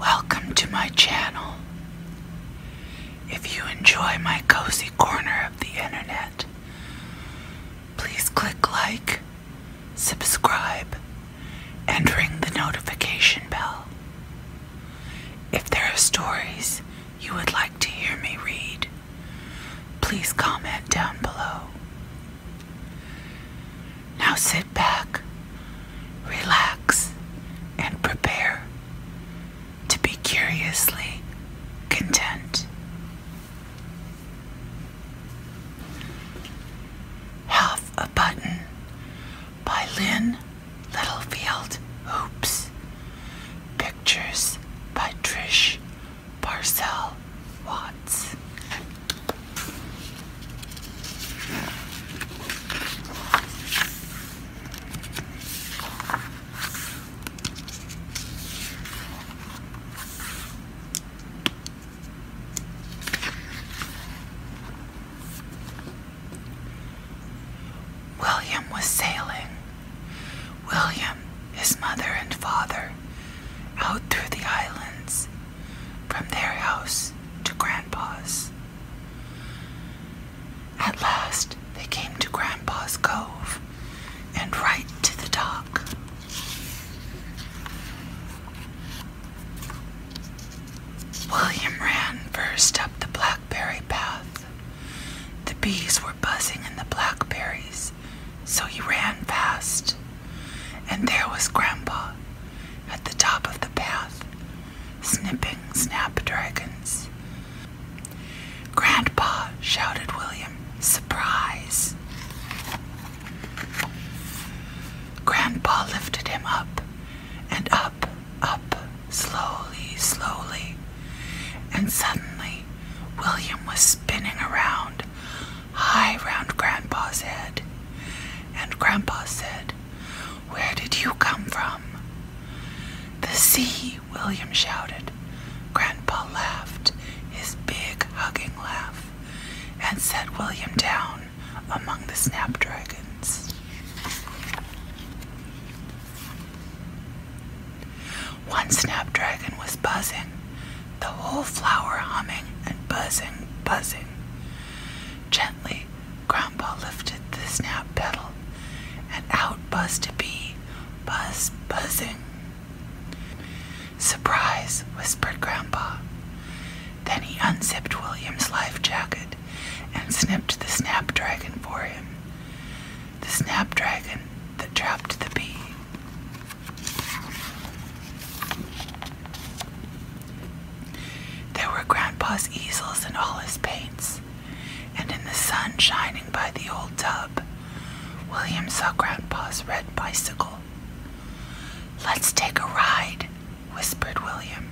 Welcome to my channel. If you enjoy my cozy corner of the internet, please click like, subscribe, and ring the notification bell. If there are stories you would like to hear me read, please comment down below. Now sit back, relax, and prepare to be curiously content. Half a Button by Lynn Littlefield Hoops. Pictures by Trish Parcell Watts. William was sailing. William, his mother, and father out through the islands from their house to Grandpa's. At last, they came to Grandpa's cove and right to the dock. William ran first up the blackberry path. The bees were buzzing in the blackberries, so he ran fast. And there was Grandpa at the top of the path, snipping snapdragons. Grandpa, shouted William, surprise. Grandpa lifted him up and up, up, slowly, slowly. And suddenly, William was spinning around, high round Grandpa's head. And Grandpa said, Where did you come from? The sea, William shouted. Grandpa laughed, his big hugging laugh, and set William down among the snapdragons. One snapdragon was buzzing, the whole flower humming and buzzing, buzzing. Gently, Grandpa lifted the snap petal, and out buzzed a bee, buzz, buzzing. Surprise, whispered Grandpa. Then he unzipped William's life jacket and snipped the snapdragon for him. The snapdragon that dropped the bee. There were Grandpa's easels and all his paints, and in the sun shining by the old tub, William saw Grandpa's red bicycle Let's take a ride, whispered William.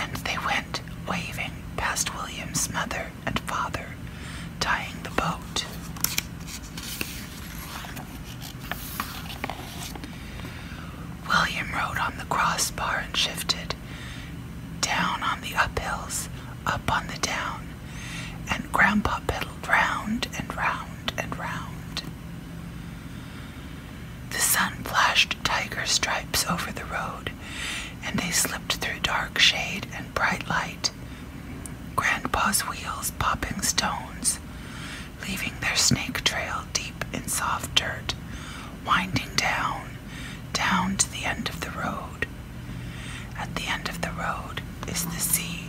And they went waving past William's mother and father, tying the boat. William rode on the crossbar and shifted, down on the uphills, up on the down, and Grandpa pedaled round and round and round. The sun flashed tiger stripes over the road, and they slipped through dark shade and bright light. Grandpa's wheels popping stones, leaving their snake trail deep in soft dirt, winding down, down to the end of the road. At the end of the road is the sea.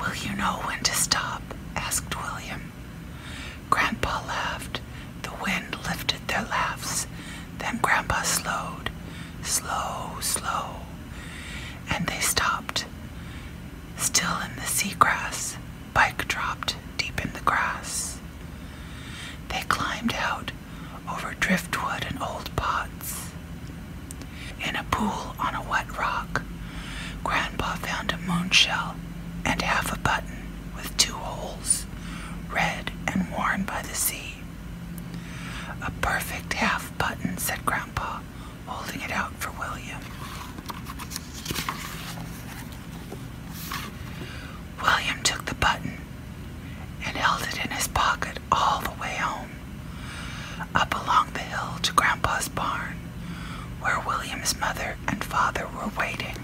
Will you know when to stop? asked William. Grandpa laughed. The wind lifted their laughs. Then Grandpa slowed, slow, slow, and they stopped. Still in the sea grass, Bike dropped deep in the grass. They climbed out over driftwood and old pots. In a pool on a wet rock, Grandpa found a moonshell and half a button with two holes, red and worn by the sea. A perfect half button, said Grandpa, holding it out for William. William took the button and held it in his pocket all the way home, up along the hill to Grandpa's barn, where William's mother and father were waiting.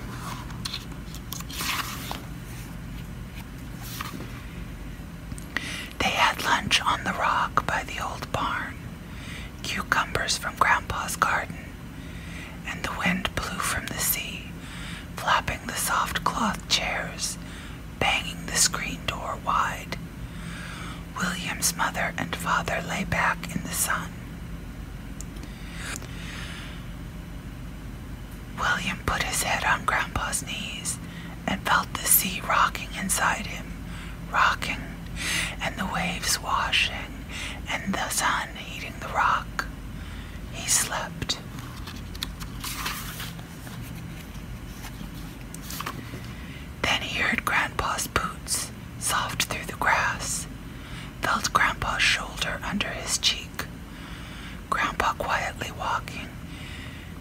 They had lunch on the rock by the old barn, cucumbers from Grandpa's garden, and the wind blew from the sea, flapping the soft cloth chairs, banging the screen door wide. William's mother and father lay back in the sun. William put his head on Grandpa's knees and felt the sea rocking inside him, rocking, and the waves washing, and the sun heating the rock, he slept. Then he heard Grandpa's boots soft through the grass, felt Grandpa's shoulder under his cheek, Grandpa quietly walking,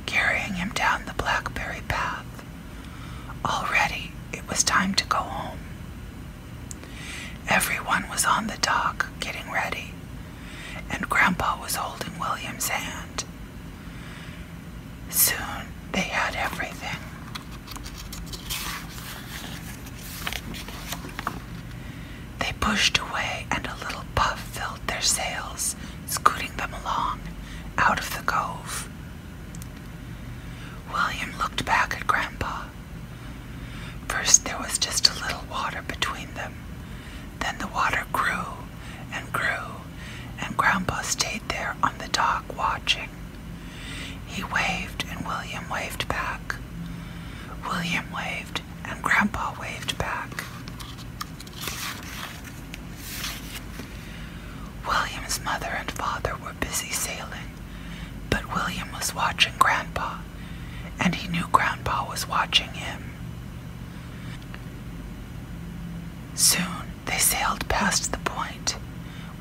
carrying him down the blackberry path. Already it was time to go home. Everyone was on the dock getting ready, and Grandpa was holding William's hand. Soon they had everything. They pushed away, and a little puff filled their sails, scooting them along out of the cove. William looked back at Grandpa. First there was just a little water between them. Then the water grew and grew, and Grandpa stayed there on the dock watching. He waved and William waved back. William waved and Grandpa waved back. William's mother and father were busy sailing, but William was watching Grandpa, and he knew Grandpa was watching him. Soon they sailed past the point.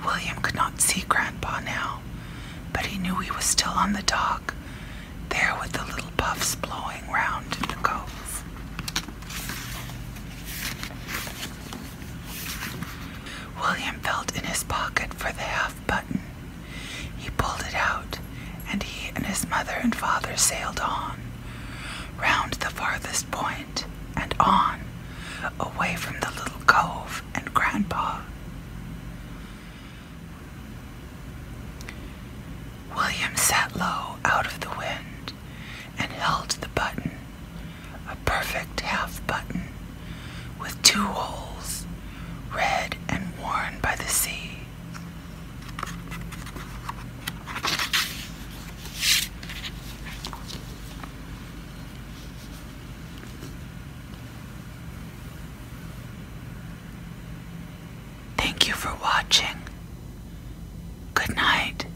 William could not see Grandpa now, but he knew he was still on the dock, there with the little puffs blowing round in the cove. William felt in his pocket for the half button. He pulled it out, and he and his mother and father sailed on, round the farthest point, and on, away from the little cove and grandpa. William sat low out of the wind and held the button a perfect half button with two holes, red and worn by the sea. Thank you for watching. Good night.